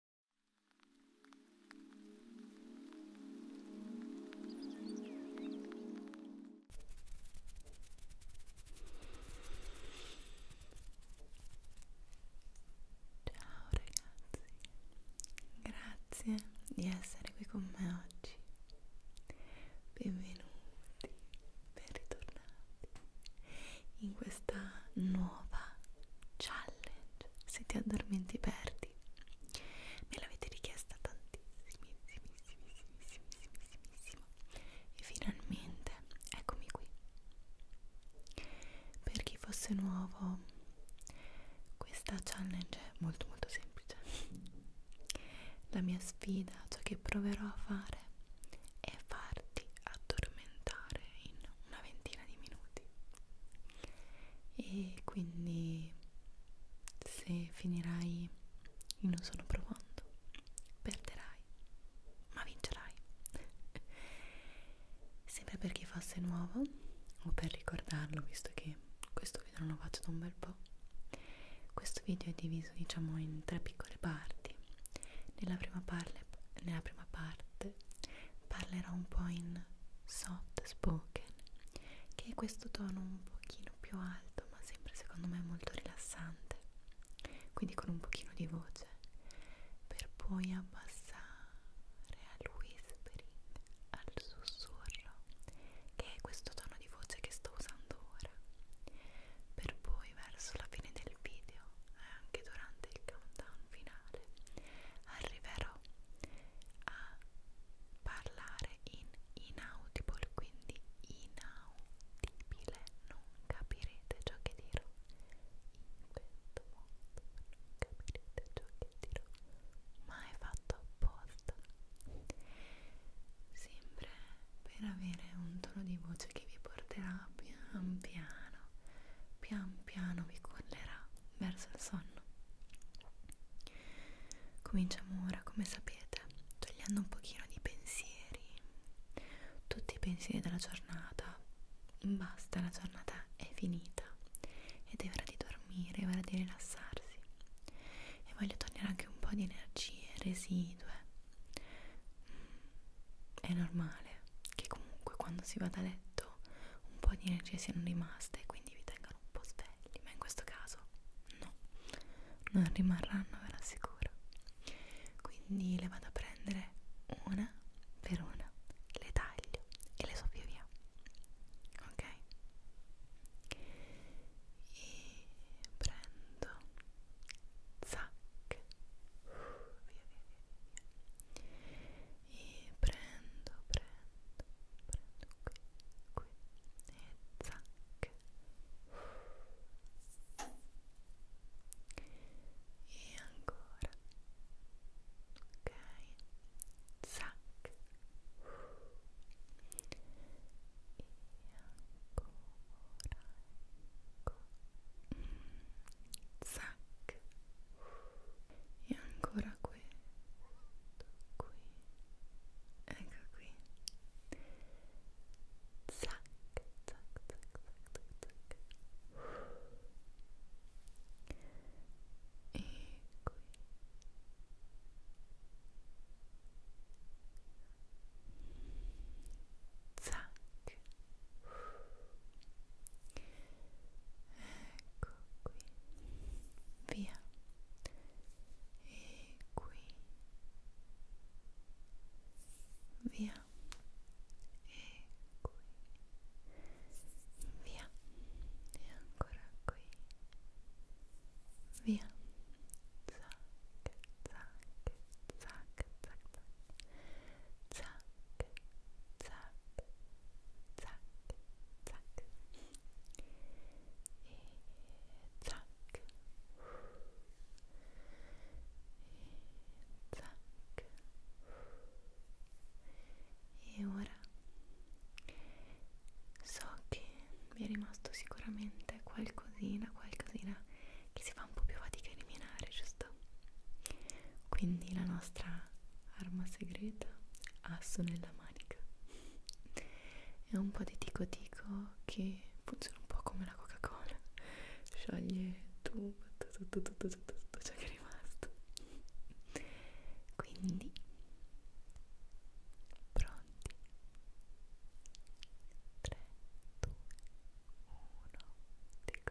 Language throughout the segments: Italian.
Ciao ragazzi, grazie di essere qui con me oggi. Benvenuti, ben ritornati in questa nuova challenge challenge se ti addormenti perdi me l'avete richiesta tantissimissimissimissimissimissimo e finalmente eccomi qui per chi fosse nuovo questa challenge è molto molto semplice la mia sfida ciò che proverò a fare è farti addormentare in una ventina di minuti e quindi se finirai in un sonno profondo perderai ma vincerai sempre per chi fosse nuovo o per ricordarlo visto che questo video non lo faccio da un bel po' questo video è diviso diciamo in tre piccole parti nella prima, parle, nella prima parte parlerò un po' in soft spoken, che è questo tono un pochino più alto, ma sempre secondo me molto rilassante, quindi con un pochino di voce, per poi abbassare al whispering, al sussurro, che è questo tono di voce che sto usando ora, per poi verso la fine del video e eh, anche durante il countdown finale arriverò a parlare in inaudible quindi inaudibile non capirete ciò che dirò invento molto non capirete ciò che dirò ma è fatto apposta sempre per avere un tono di voce che vi porterà pian piano pian piano vi collerà verso il sonno. Cominciamo ora, come sapete, togliendo un pochino di pensieri, tutti i pensieri della giornata. Basta, la giornata è finita ed è ora di dormire, è ora di rilassarsi. E voglio togliere anche un po' di energie residue. Mm, è normale che comunque quando si va da letto appunto un po' di energie siano rimaste e quindi vi tengano un po' svegli, ma in questo caso no, non rimarranno, ve lo assicuro. Quindi le vado a prendere una per una, le taglio e le soffio via, ok? E prendo, zac, via, via, via, via e prendo, prendo, prendo qui, qui e zac e ancora ok zac e ancora ecco mm, zac e ancora questo qui ecco qui zac zac zac zac zac e qui zac ecco qui via e qui via e qui via e ancora qui via zac zac zac zac zac zac zac, zac, zac e zac e zac e ora so che mi è rimasto sicuramente qualcosina, qualcosina che si fa un po' più fatica a eliminare, giusto? Quindi la nostra arma segreta, asso nella manica è un po' di tico tico che funziona un po' come la coca cola scioglie tutto tutto, tutto, tutto, tutto ciò che è rimasto quindi pronti 3, 2, 1 tico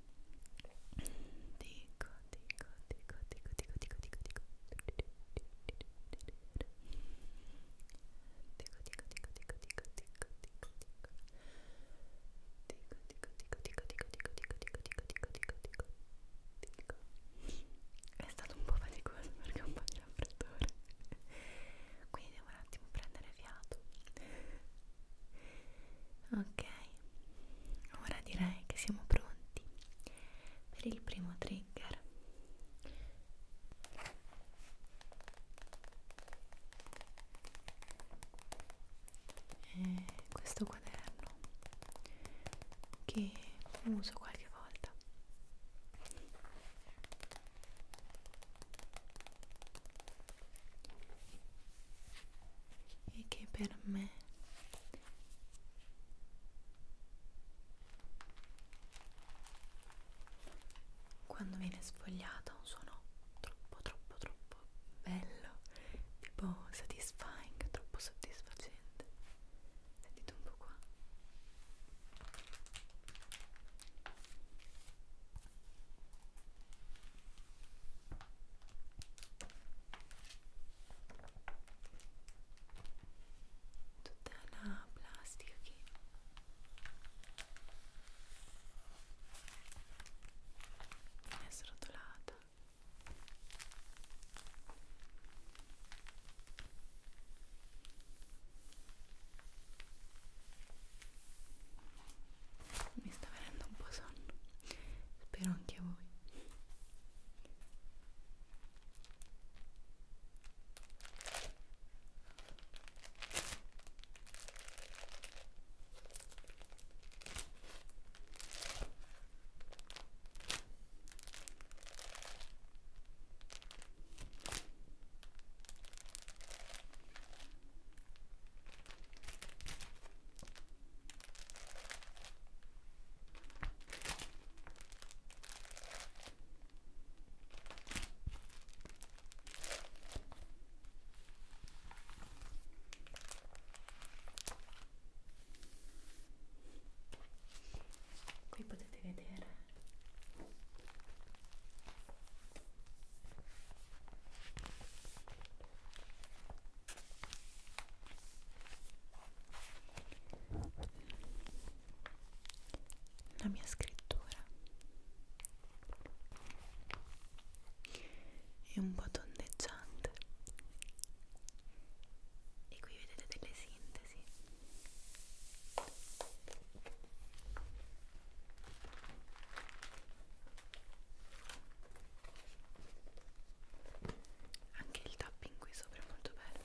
dico, dico, dico, dico, dico, dico, dico, dico, dico, dico, dico, dico, dico, dico, dico, è stato un po' faticoso perché ho un po' di raffreddore quindi devo un attimo prendere fiato ok ora direi che siamo pronti per il primo trigger e eh, questo quaderno che uso qualche volta e che per me quando viene sfogliata un suono troppo troppo troppo bello tipo satisfying troppo soddisfacente sentite un po' qua tutta la plastica che è srotolata mi sta venendo un po' sonno spero anche a voi Qui potete vedere la mia scrittura è un po' tondeggiante e qui vedete delle sintesi anche il tapping qui sopra è molto bello.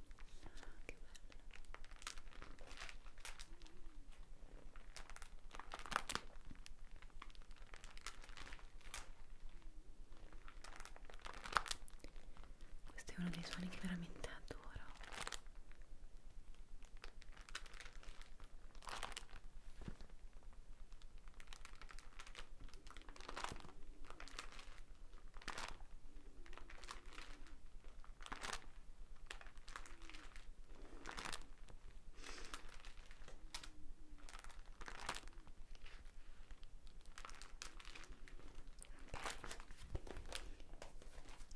che bello questo è uno dei suoni che veramente adoro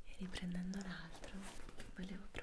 e riprendendo l'altro volevo provare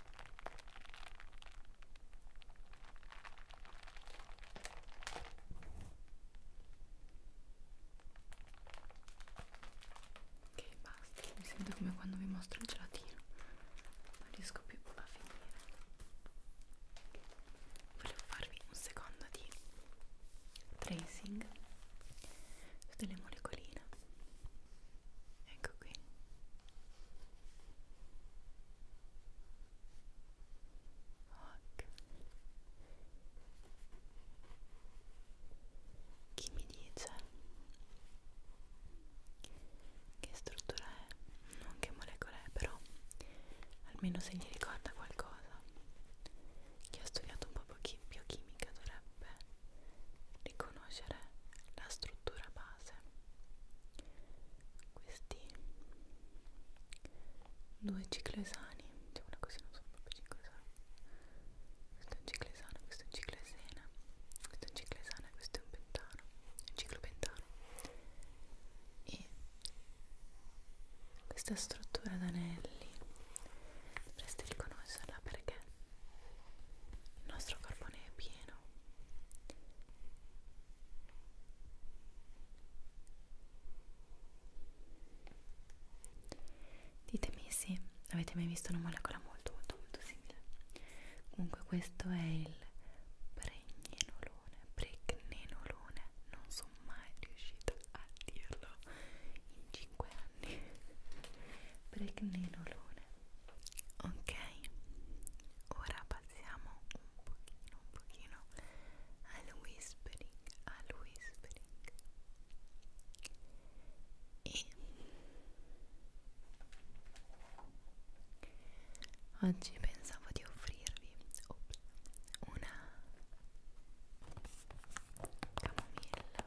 Ok, basta, mi sento come quando vi mostro il gelatino, non riesco più a finire. Volevo farvi un secondo di tracing su delle molecoline ecco qui ok chi mi dice che struttura è non che molecola è però almeno se gli ricorda qualcosa chi ha studiato un po' biochimica dovrebbe ricordare conoscere la struttura base questi due ciclesani diciamo cioè così non sono proprio ciclesani questo è un ciclesano questo è un ciclesena questo è un ciclesana questo è un pentano un ciclopentano e questa struttura d'anelli dovreste riconoscerla perché il nostro carbone è pieno ditemi se avete mai visto una molecola molto molto molto simile comunque questo è il pregnenolone pregnenolone non sono mai riuscita a dirlo in 5 anni pregnenolone ok ora passiamo un pochino un pochino al whispering al whispering e oggi pensavo di offrirvi una camomilla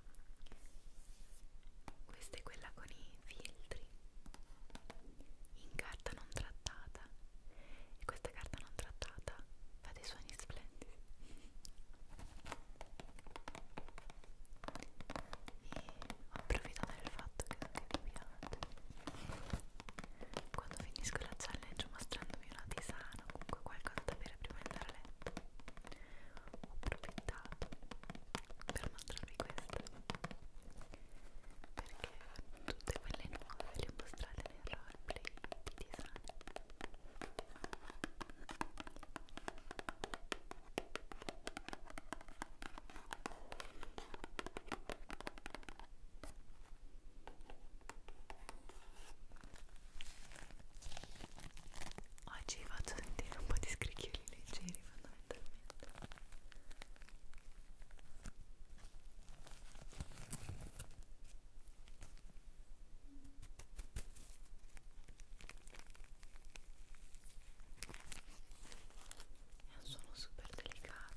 Questa è quella con i filtri in carta non trattata e questa carta non trattata fa dei suoni splendidi e approfitto del fatto che anche vi piace quando finisco la challenge mostrandomi una tisana o comunque qualcosa da bere prima di andare a letto ho approfittato per mostrarvi queste perché tutte quelle nuove ve le ho mostrate nel roleplay di design Oggi vi faccio sentire un po' di scricchioli leggeri fondamentalmente. È un suono super delicato.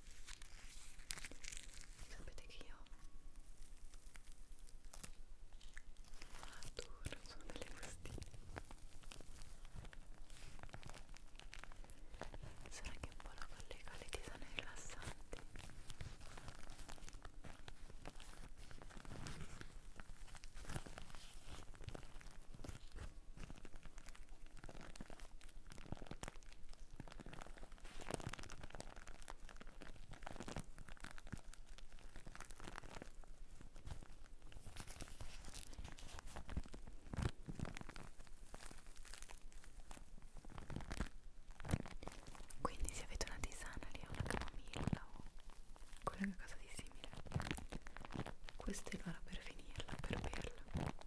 sapete che io non adoro, sono delle bustine sarà che un po' la collega le tisane rilassanti quindi se avete una tisana lì o una camomilla o qualunque cosa di simile, questo è l'ora per finirla, per berla.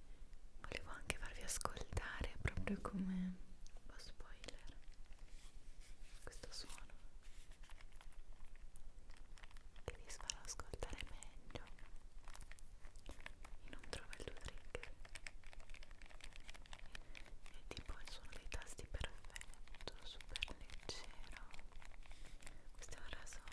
volevo anche farvi ascoltare proprio come un po' spoiler questo suono che vi farà ascoltare meglio e non trovo il tuo trigger è tipo il suono dei tasti perfetto super leggero questo è un rasoio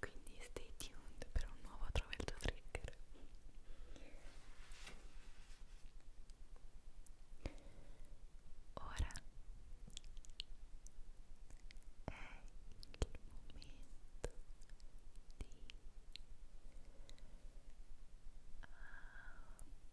quindi stay tuned per un nuovo Trova il tuo trigger ora è il momento di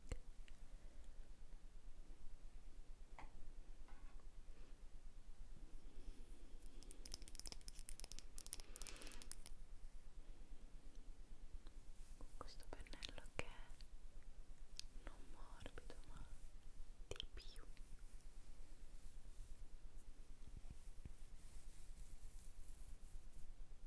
questo pennello che è non morbido ma di più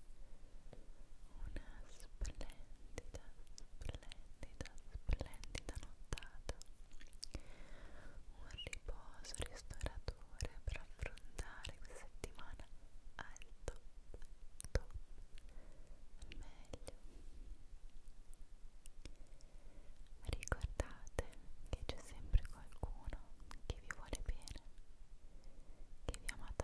una splendida, splendida, splendida nottata un riposo ristoratore per affrontare questa settimana al top, top al meglio ricordate che c'è sempre qualcuno che vi vuole bene che vi ama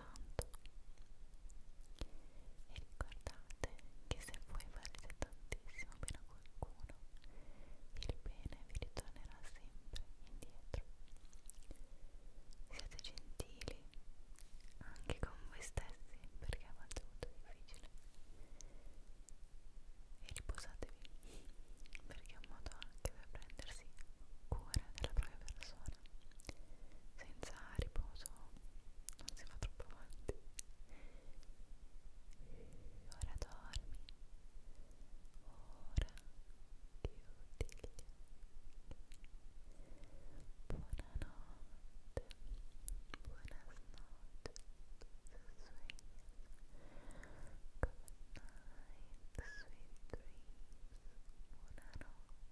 tanto e ricordate che se voi valete tantissimo per a qualcuno il bene vi ritornerà sempre indietro siate gentili anche con voi stessi perché avete avuto difficile e riposatevi perché è un modo anche per prendersi cura della propria persona settimana senza riposo non si va troppo avanti ora dormi ora chiudi gli occhi buonanotte buonasnotte Good night, sweet dreams. Buonanotte.